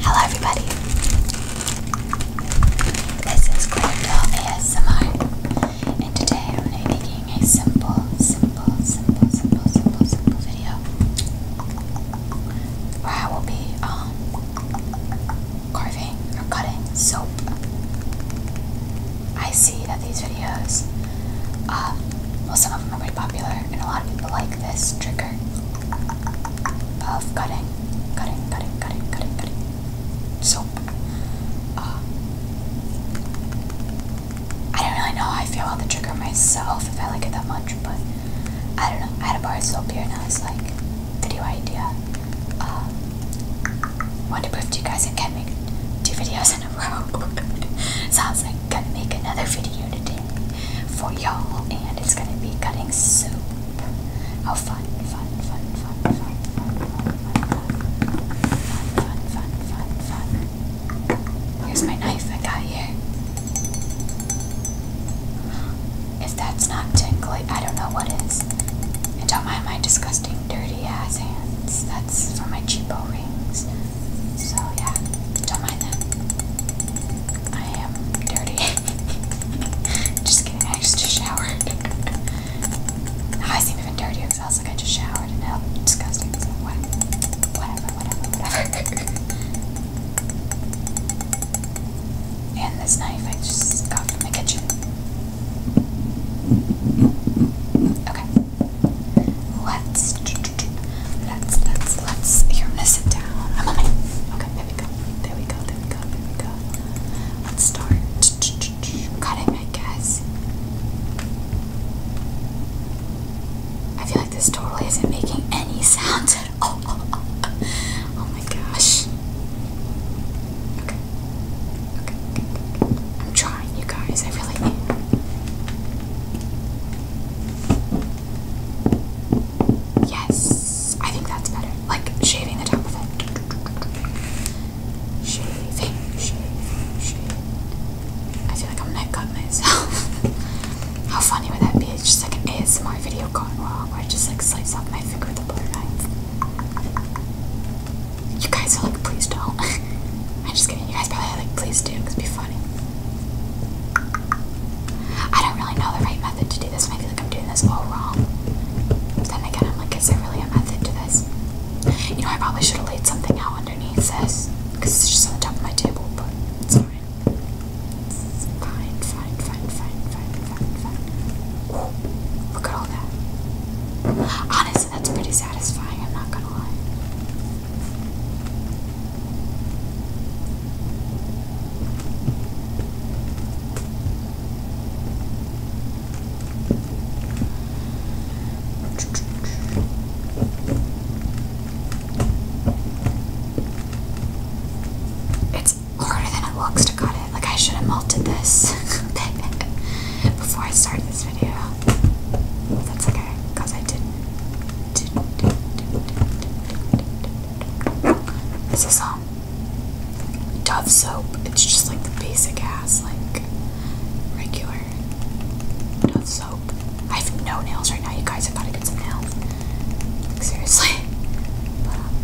Hello, everybody. This is Grandpa ASMR, and today I'm making a simple, simple, simple, simple, simple, simple video where I will be um, carving or cutting soap. I see these videos. Um, well, some of them are pretty popular, and a lot of people like this trigger of cutting, cutting, cutting, cutting, cutting, cutting soap. Um, I don't really know how I feel about the trigger myself, if I like it that much, but I don't know. I had a bar of soap here, and I was like, video idea. Um, Want to prove to you guys I can make two videos so I was like, gonna make another video today for y'all, and it's gonna be cutting soup. How oh, fun, fun, fun, fun, fun, fun, fun, fun, fun, fun, Here's my knife I got here. If that's not tingly, I don't know what is. And don't mind my disgusting, dirty pretty hands. That's for my cheapo rings. So yeah, don't mind that. I am dirty. just kidding, I just showered. now I seem even dirtier because I was like, I just showered and now disgusting. Whatever, whatever, whatever. and this knife I just got from the kitchen. Okay. Let's let's let's let's You're gonna sit down. I'm on my okay. There we go. There we go. There we go. There we go. Let's start cutting. I guess. I feel like this totally isn't making any sounds Oh my gosh. Okay. Okay. I'm trying, you guys. I really am. Yes. I think that's better. Like shaving the top of it. Shaving, shaving, shaving. I feel like I'm gonna cut myself. How funny would that be? It's just like an ASMR video gone wrong where I just like slice off my finger with a butter knife. You guys are like, please don't. I'm just kidding. You guys probably are like, please do, because it'd be funny. I don't really know the right method to do this, and I feel like I'm doing this all wrong. then again, I'm like, is there really a method to this? You know, I probably should have laid something out underneath this, it's just on the top of my table, but it's fine, fine, fine, fine, fine, fine, fine. look at all that. Honestly, that's pretty satisfying, I'm not gonna lie. It's harder than it looks got it. Like I should have melted this before I started this video. That's okay, cause I didn't. didn't, This is um Dove soap. It's just like the basic ass, like regular Dove soap. I have no nails right now. You guys have got to get some nails. Like, seriously.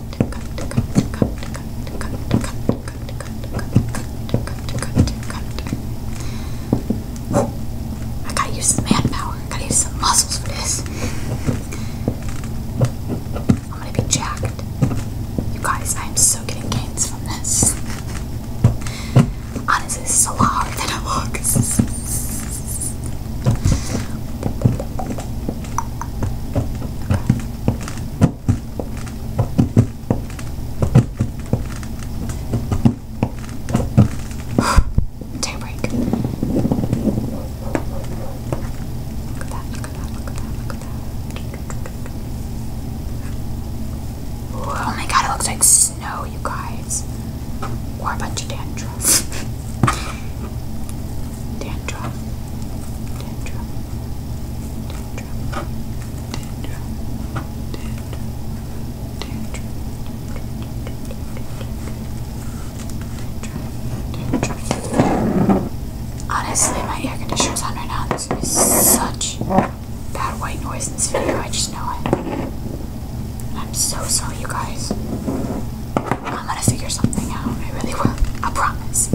I got use some manpower. got use some muscles for this. I'm gonna be jacked. You guys, I am so getting gains from this. Honestly, this is a it looks. Take break. oh my god, it looks like snow, you guys. Or a bunch of dandruff. dandruff. Honestly, my air conditioner is on right now. This is such bad white noise in this video. I just know it. I'm so sorry, you guys. I'm gonna figure something out. I really will. I promise.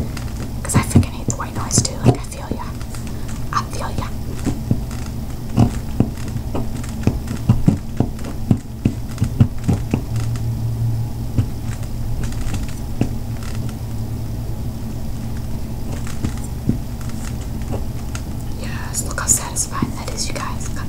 Cause I freaking hate the white noise too. Like I feel ya. I feel ya. Yes, look how satisfying that is, you guys.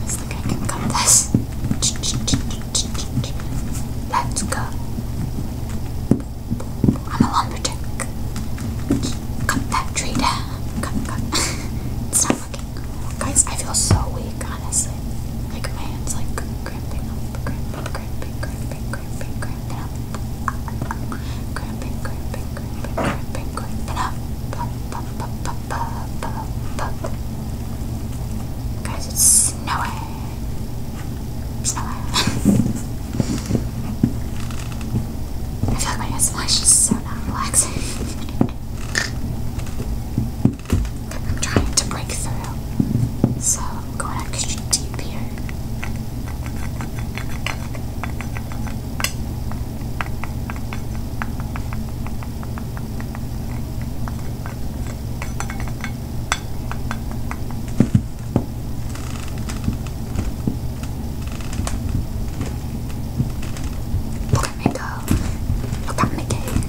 Let's think I cut this. Let's go. I'm a lumberjack. Cut that tree Cut, cut. it's not Guys, I feel so weak, honestly. Like my hands like cramping up, cramping, cramping, cramping, crimp it's snowing. Snowing. I feel like my SMLish is so not relaxing. I'm trying to break through, so I'm going extra deep here. Look at me go. Look at me go.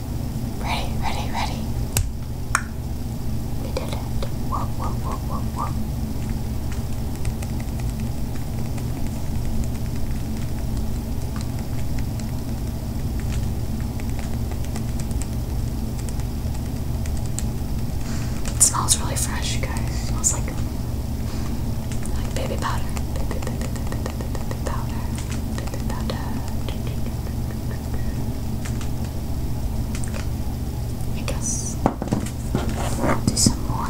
Ready, ready, ready. We did it. It smells really fresh, guys. smells like like Baby powder. I guess I'll do some more.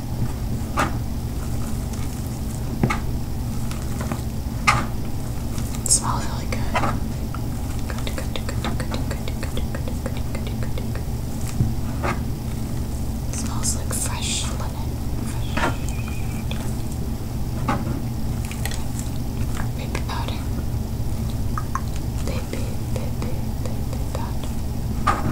smells really good. smells like fresh linen. baby powder. Baby, baby, baby powder.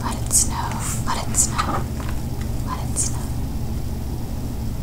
Let it snow, let it snow, let it snow.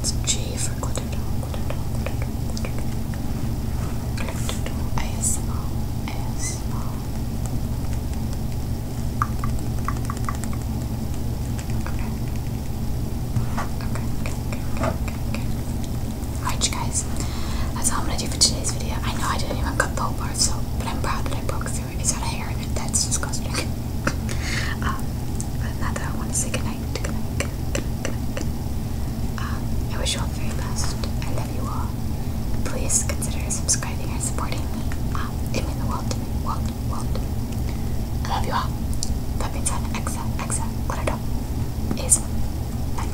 It's G for Glitterdo, Glitterdo, Okay. Okay, okay, okay, okay, okay. Alright you guys, that's all I'm gonna do for today's video. I know I didn't even cut the whole part, so, but I'm proud that I broke through through it. Is that hair in it? That's disgusting. Um, not that I want to say goodnight. Goodnight, goodnight, goodnight, goodnight, um, I wish you all the very best. I love you all. Please consider subscribing and supporting me. Um, it means the world to me. World, world. I love you all. That means I'm exa, exa, what I do is bye